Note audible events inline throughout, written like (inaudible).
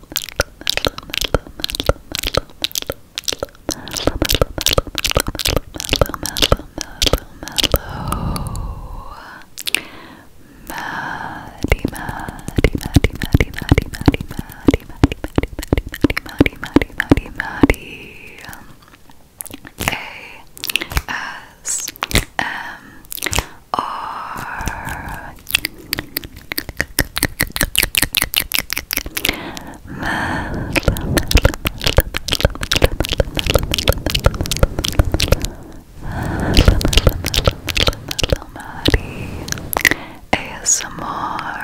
Maddie, are ASMR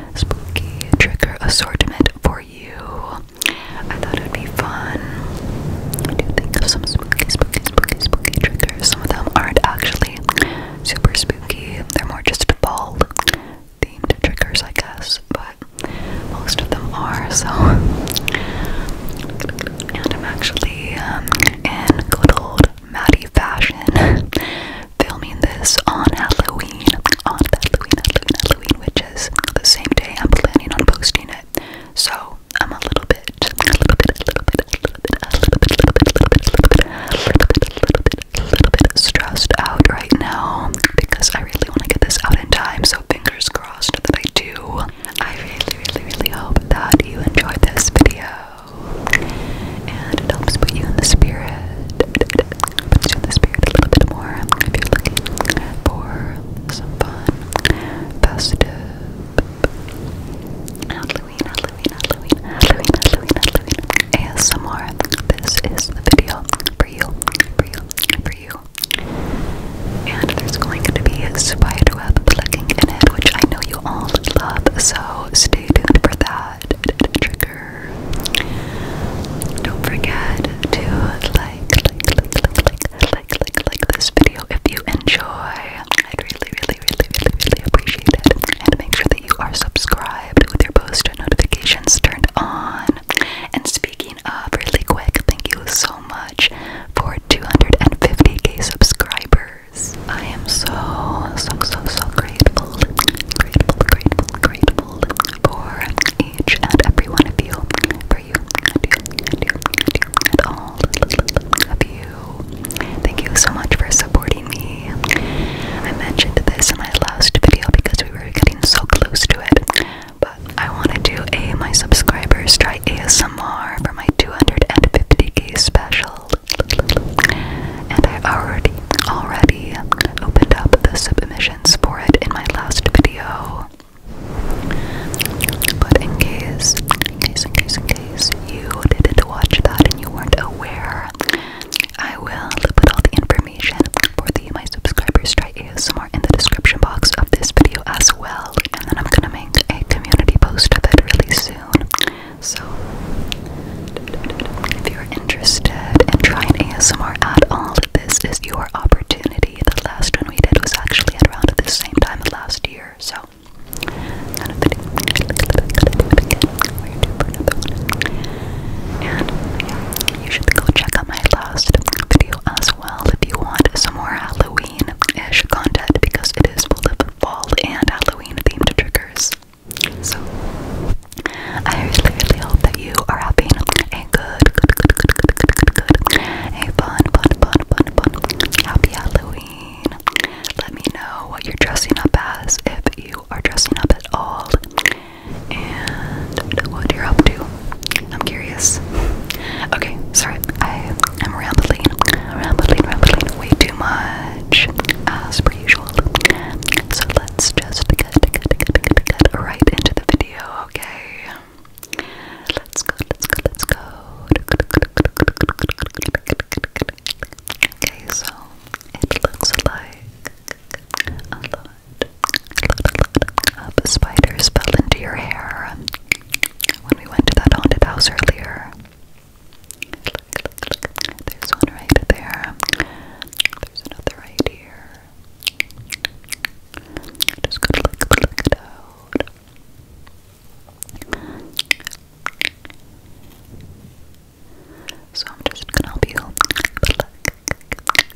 spooky trigger assortment for you. I thought it would be fun. I do think of some spooky, spooky, spooky, spooky triggers. Some of them aren't actually super spooky, they're more just fall themed triggers, I guess, but most of them are so. And I'm actually um, in good old Maddie fashion filming this on Halloween, on Halloween, Halloween, Halloween, which is the same day I'm planning on posting it. So I'm a little bit, a little bit, a little bit, little bit, little bit, little bit, little bit, little bit stressed out right now because I really want to get this out in time. So fingers crossed that I do. I really, really, really hope that you enjoyed this video and it helps put you in the spirit opens you the spirit a little bit more if you're looking for some fun, festive Halloween, Halloween, Halloween, Halloween, Halloween, Halloween ASMR. This is the video for you, for you, for you. And there's going to be a spiderweb plugging in it, which I know you all love, so stay tuned for that trigger. Don't forget to like, like, like, like, like, like, like this video if you enjoy. I'd really, really, really, really, really appreciate it. And make sure that you are subscribed with your post notifications turned on. And speaking of, really quick, thank you so much for 250k subscribers. I am so, so, so, so grateful. Grateful, grateful, grateful for each and every one of you, for you, and all of you. Thank you so much for supporting me. I mentioned this in my last video because we were getting so close to it, but I want to do a my subscribers try ASMR for my 250k special and I already already opened up the submissions for it in my last video. But in case, in case, in case, in case you didn't watch that and you weren't aware, I will put all the information for the My Subscribers Try ASMR in the description box of this video as well. And then I'm gonna make a community post of it really soon. So if you're interested in trying ASMR at all, this is your opportunity. The last one we did was actually around the same time last year, so you should go check out my last video as well if you want some more Halloween-ish content because it is full of fall and Halloween themed triggers. So, I really, really hope that you are having a good, good, good, good, good, good, good, good, a fun, fun, fun, fun, fun, happy Halloween. Let me know what you're dressing up as, if you are dressing up at all, and what you're up to. I'm curious. Okay, sorry, I am rambling, rambling, rambling way too much, as per usual. So let's just Right into the video, okay? Let's go, let's go, let's go. Okay, so it looks like a spiders fell into your hair when we went to that haunted house earlier. There's one right there. There's another right here. just gonna like pluck out. So I'm just gonna help you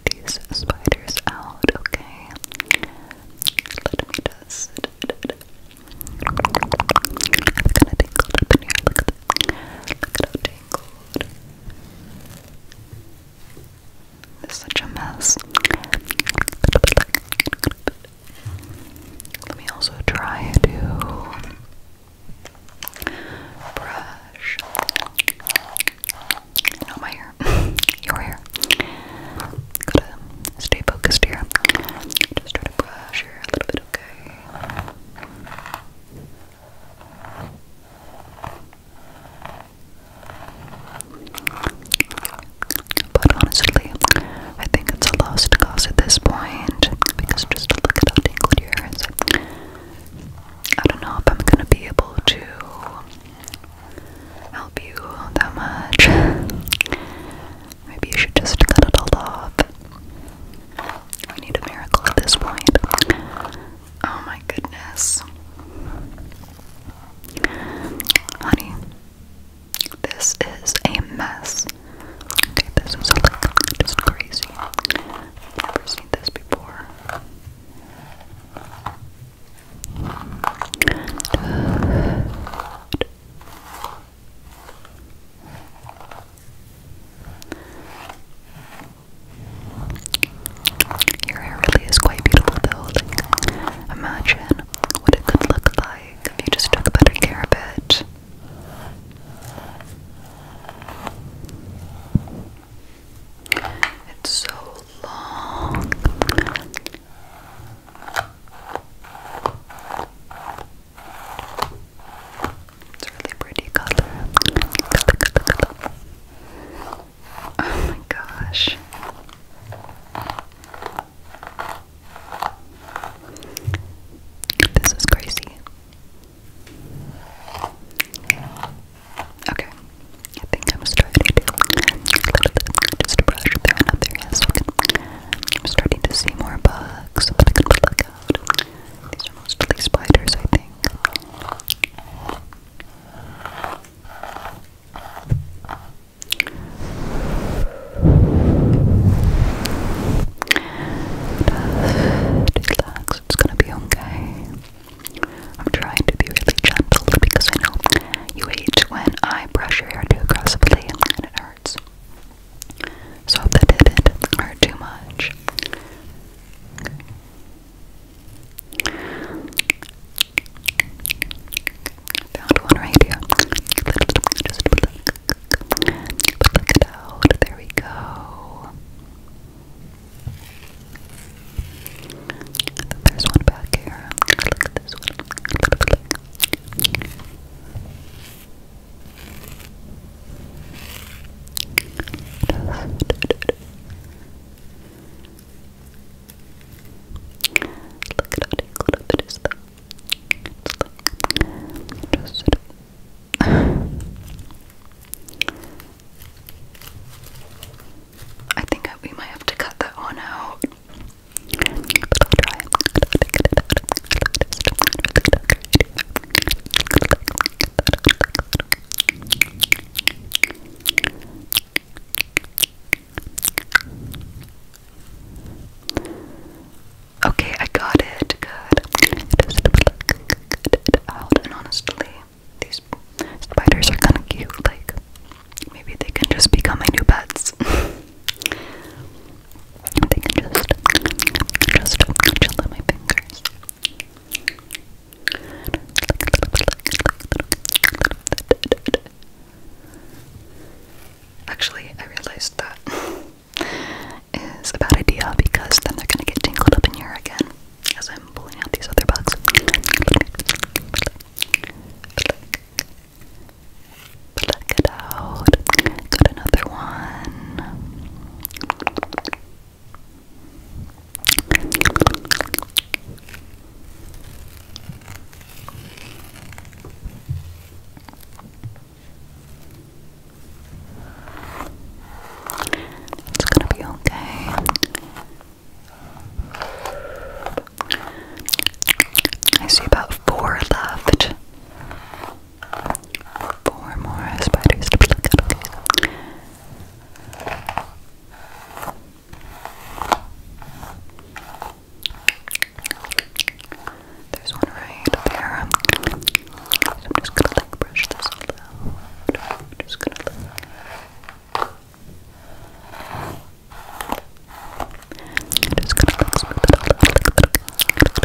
these spiders out, okay? Let me just it's kinda tingled up in here. Look at, look tangled. It's such a mess. Let me also try to brush not my hair, (laughs) your hair. Gotta stay focused here. Just try to brush here a little bit, okay? But honestly, I think it's a lost cause at this point because just to look at how tingled your ears, I don't know if I'm gonna be able to help you that much. Maybe you should just cut it all off. We need a miracle at this point. Oh my goodness. Honey, this is a mess. Okay, this is like just crazy. never seen this before. Your hair really is quite beautiful though. imagine what it could look like if you just took better care of it. It's so long. It's really pretty color. Oh my gosh. This is crazy. Okay. I think I'm starting to just brush there and up there. Yes, I'm starting to see more bugs that I out. These are mostly spiders, I think relax, it's gonna be okay. I'm trying to be really gentle because I know you hate when I brush your hair too aggressively and it hurts. So that didn't hurt too much. Found one right here. Just pluck it out. There we go. There's one back here. Look at this one. Look at I think we might have to cut that one out. Okay, I got it. Good. honestly, these spiders are kind of cute. Like, maybe they can just become my new pets. (laughs) they can just, just chill at my fingers. Actually, I realized that (laughs) is a bad idea because then they're gonna get tangled up in here again as I'm pulling out these other bugs. Pluck it out. Got another one. It's gonna be okay. I see about four left. Four more spiders there's one right there. I'm just gonna like brush this all out. I'm just gonna like just gonna like smooth it all out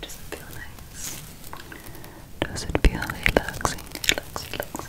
Does it feel nice? Does it feel relaxing? Relaxing, relaxing. Good.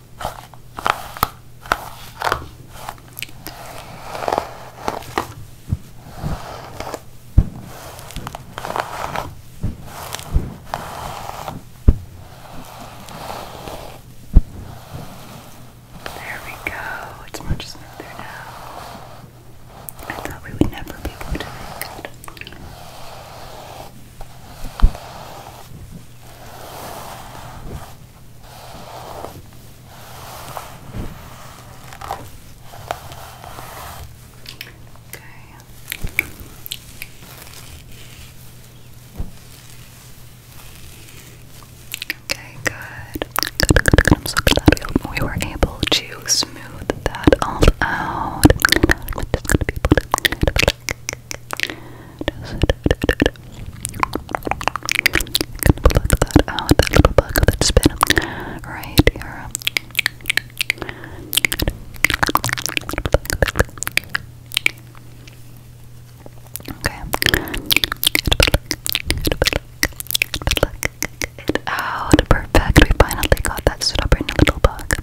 There we go. It's much smoother now. I thought we would never be able to do it. Okay, good. Good, good, good. I'm so glad we were able to smooth that all out going that out, little bug that's right here. Okay. It out. Perfect. We finally got that stubborn little bug,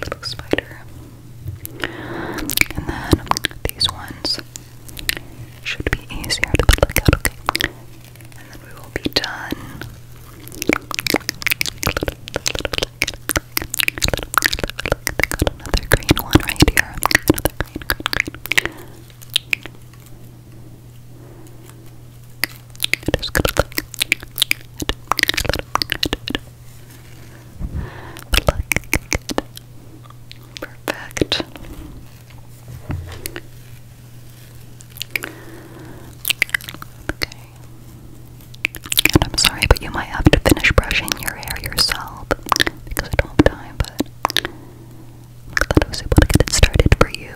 little spider. And then these ones should be easier to look at, okay? And then we will be done. another green one right here. Another green, Perfect. Okay. And I'm sorry, but you might have to finish brushing your hair yourself because I don't have time, but i was able to get it started for you.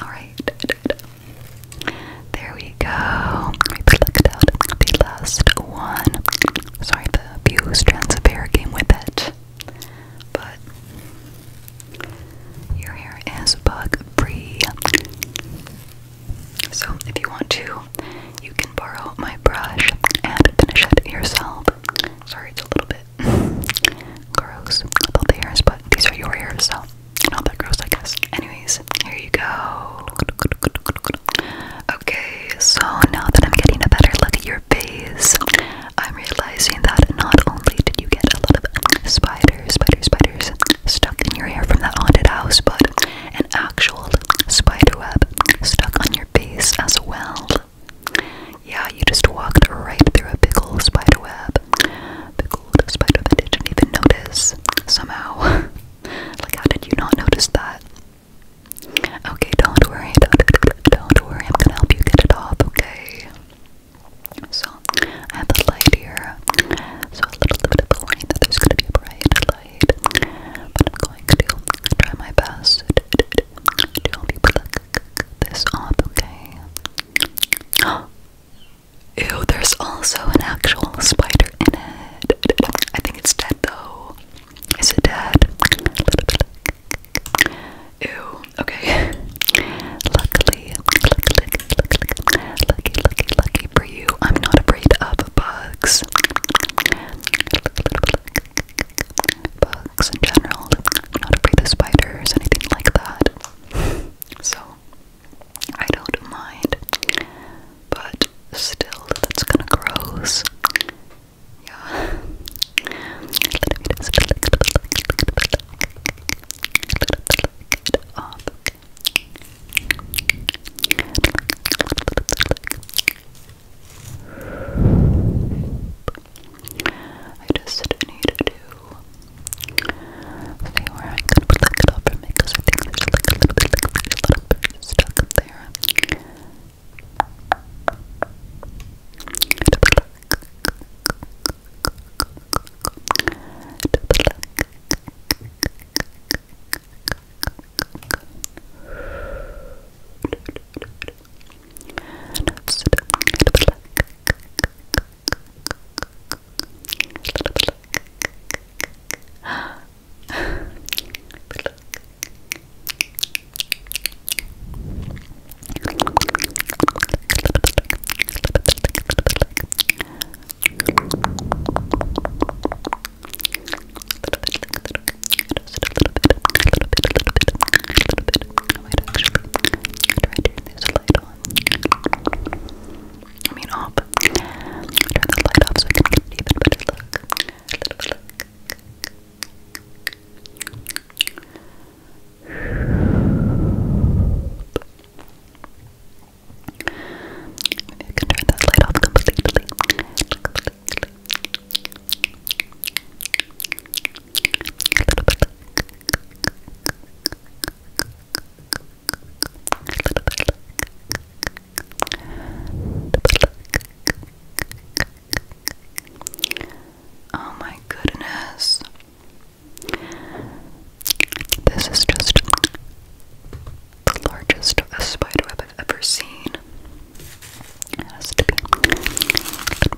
Alright. There we go. the last one. Sorry, the Pew strands of hair came with it. But your hair is bug free. So if you want to, you can borrow my brush and finish it yourself. Sorry, it's a little bit (laughs) gross with the hairs, but these are your hairs, so not that gross, I guess. Anyways, here you go. Okay, so now that I'm getting a better look at your face, I'm realizing that not only did you get a lot of spiders, spiders, spiders stuck in your hair from that haunted house, but an actual spider web stuck on your face as well. Yeah, you just walked right through a big old spider web. Big old spider that didn't even notice somehow. (laughs) Like, how did you not notice that? Okay, don't worry, don't, don't worry. I'm gonna help you get it off, okay? So, I have the light here. So, a little bit of the warning that there's gonna be a bright light. But I'm going to try my best to help you pluck this up, okay? (gasps) Oh, Ew, there's also an actual spider in it. I think it's dead though. Is it dead? Ew, okay. Luckily, luckily, luckily, lucky, lucky, lucky for you, I'm not afraid of bugs. Bugs in general, I'm not afraid of spiders, anything like that. So, I don't mind, but still, that's kind of gross. Yeah. Let I just needed to see where I could lift it up from it I think there's like a little bit, like there's a little bit stuck up there. I might actually try to turn this light on. I mean off. Turn the light off so I can get an even better look. A can turn that light off completely. Oh my goodness. This is just the largest spider web I've ever seen. It has to be. Let me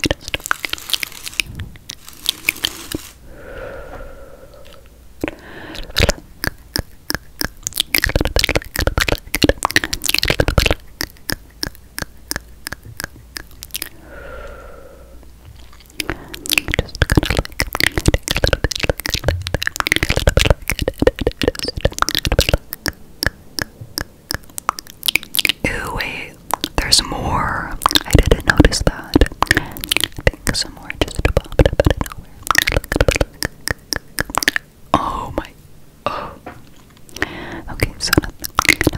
just. Ooh, wait, there's more. I didn't notice that. I think some more just popped out of nowhere. Oh my. Oh. Okay, so now,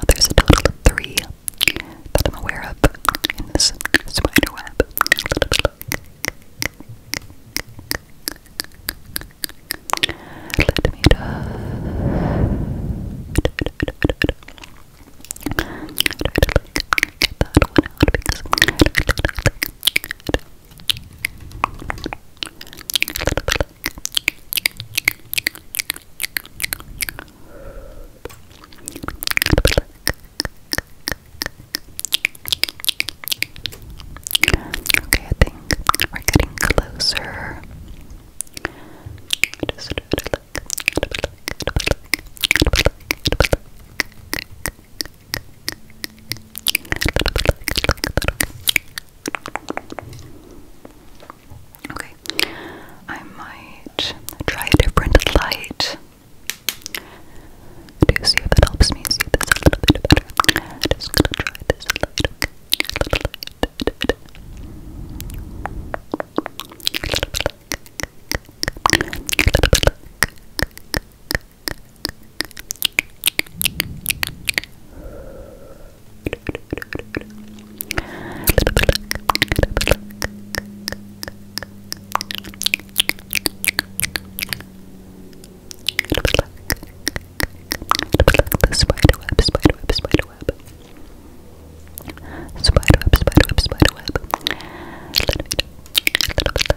there's a total of three that I'm aware of in this spider web. Let me Get that Okay, I think we're getting closer. Okay, I might try a different light to see if it helps me see this a little bit better. just gonna try this light, the spider web, spider web, spider web. Spider web, spider web, spider web. Little bit, little bit.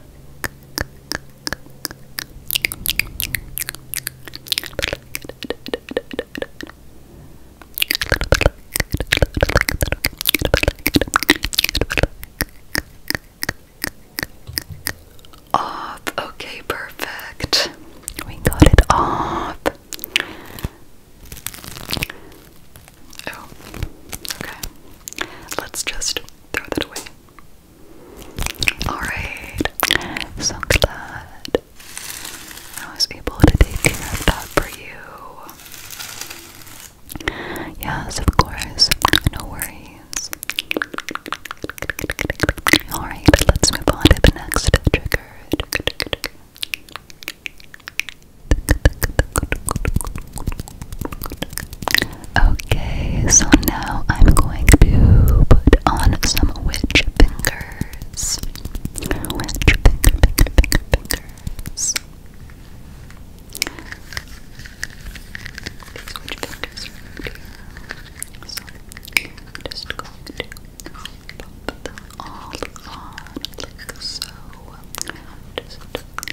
Off. Okay, perfect. We got it up. Oh, okay. Let's just throw that away. Alright, so glad I was able to take care of that for you. Yes, of course, no worries. Alright, let's move on to the next trigger. Okay, so now I'm going to put on some witch fingers. Witch finger, finger, fingers. witch fingers So I'm just going to pop them all on like so. Just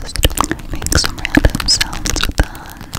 Just make some random sounds with that. Just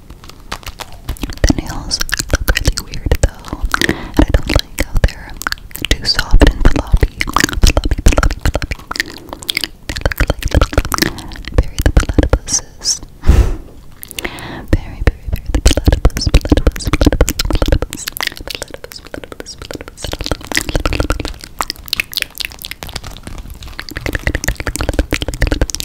The nails look pretty weird though, and I don't like how they're too soft and floppy. Floppy, floppy, floppy. They look the platypuses. Bury, bury, bury the platypus,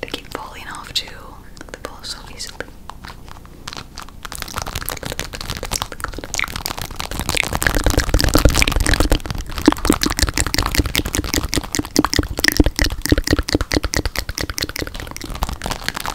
They keep falling off too. They fall off so easily.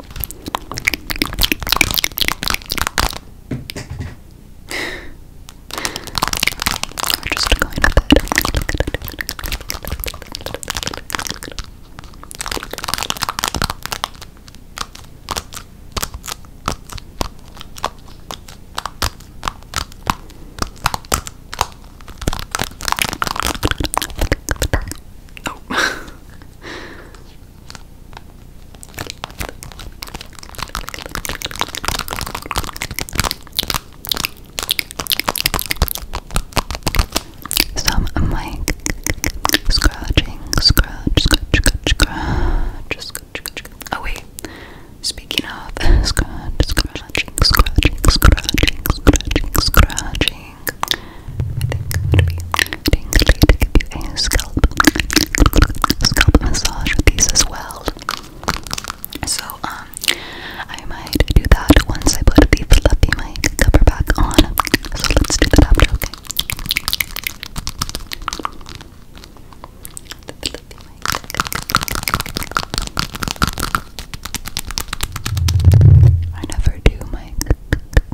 We're just going to bed. Oh. (laughs) so I'm like scratching, scratch, scratch, scratch, scratch, scratch, scratch. Oh wait. Speaking of (laughs) scratch, scratching, scratching, scratching, scratching, scratching, think it would be to give you a scalp, scalp massage with these as well. So, um, I might do that once I put the fluffy mic cover back on. So let's do The fluffy mic. I never do my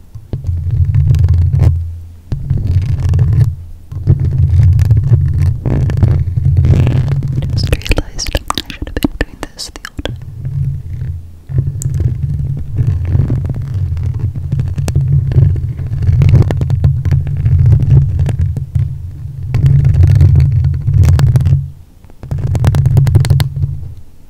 Just realized I should have been doing this the whole time. Thank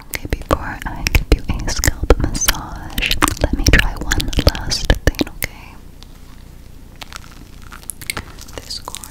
Okay, before I give you a scalp massage, let me try one last thing, okay? This coin.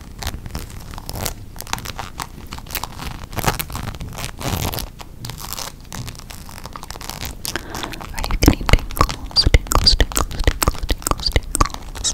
Are you getting tingles? Tingles, tingles, tingles, tingles, tingles. tingles.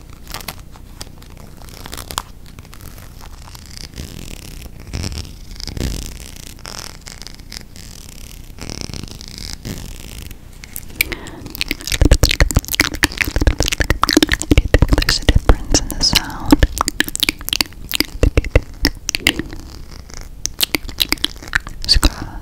There's a difference in the sound. Scratching.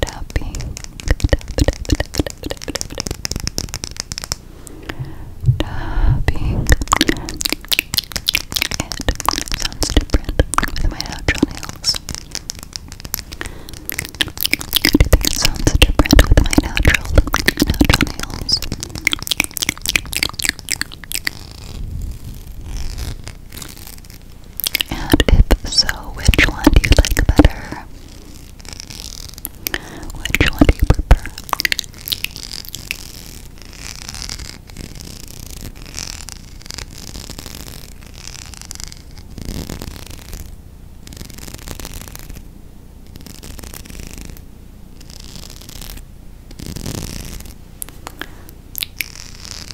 tapping, tap, tap, tap, tap, tap, tap, tap. tapping. It sounds different with my natural nails. Do you think it sounds different with my natural, natural nails? And if so, which one do you like better? Which one do you prefer?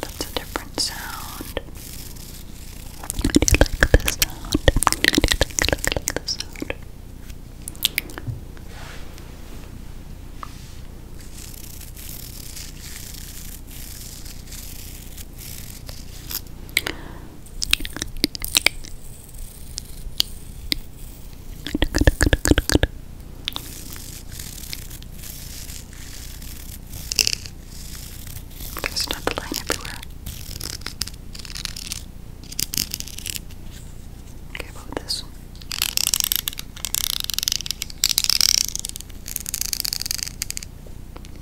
That's a different sound. Do you like this sound? Do you like, like, sound? There's another line everywhere. Okay, about this.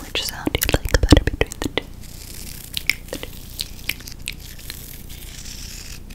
Which sound do you like better between the two?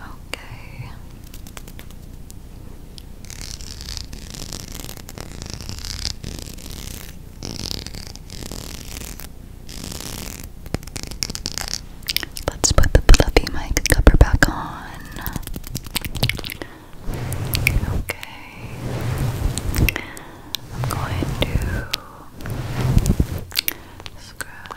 Okay. Let's put the fluffy mic cover back on. Okay. I'm going to scratch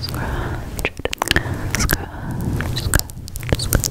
Scratch it. Scratch, scratch, scratch. Scratch,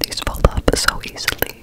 These fold up so easily.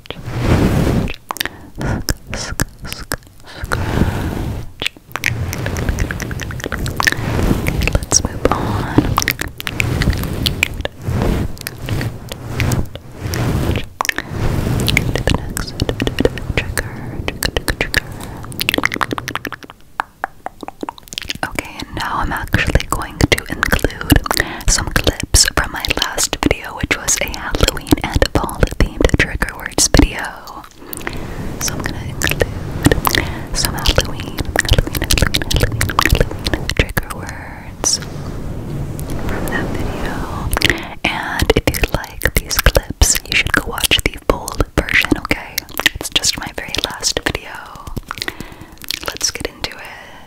Okay, let's move on. To the next trigger, Okay, and now I'm actually going to include some clips from my last video which was a Halloween and fall themed trigger words video. So I'm gonna include some Halloween, Halloween, Halloween trigger words from that video. And if you like these clips, you should go watch the full version, okay? It's just my very last video. Let's get into it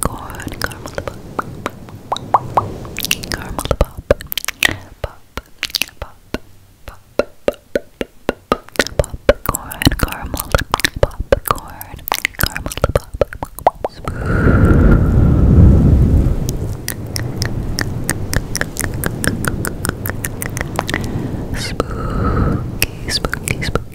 corn, caramel pop, caramel pop, pop, pop, pop, popcorn, caramel, popcorn, caramel pop, spooky, spooky, spooky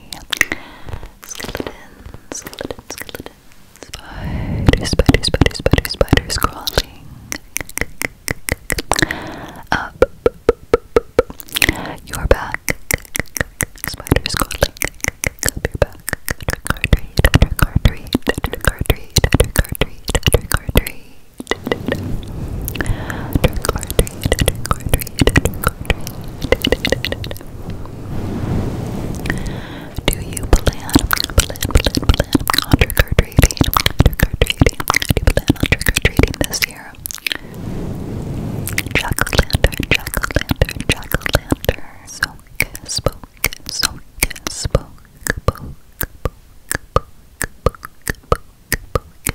Skeleton, skeleton, skeleton. Spider, spider, spider, spider, spider crawling up your back. Spiders crawling up your back. Trick or treat, trick or treat, trick or treat, trick or treat, trick or treat, trick or treat, do you plan, plan, plan, plan on trick or treating? Trick or treating? Do you plan on trick or treating this year? Jack o' lantern, jack o' lantern, jack o' lantern. Soak, spoke, soak, spoke, poke, poke, poke, poke, poke, focus. Good.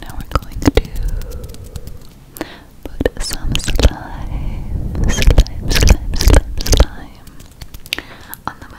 Now we're going to put some slime, slime, slime, slime, slime, time on the mic.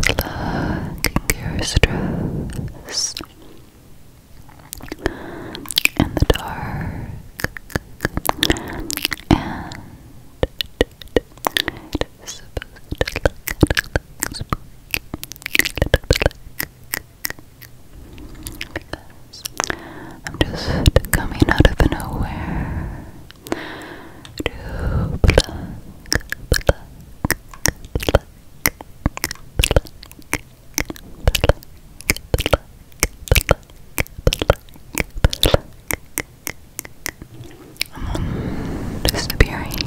Plucking your stress in the dark, I'm just coming out of nowhere I'm disappearing.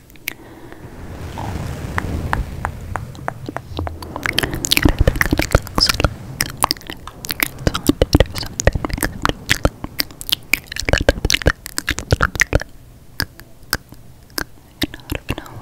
of nowhere. And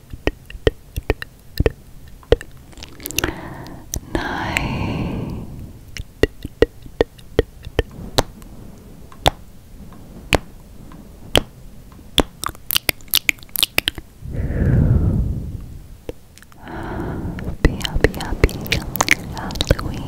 night. Happy, happy, happy Halloween,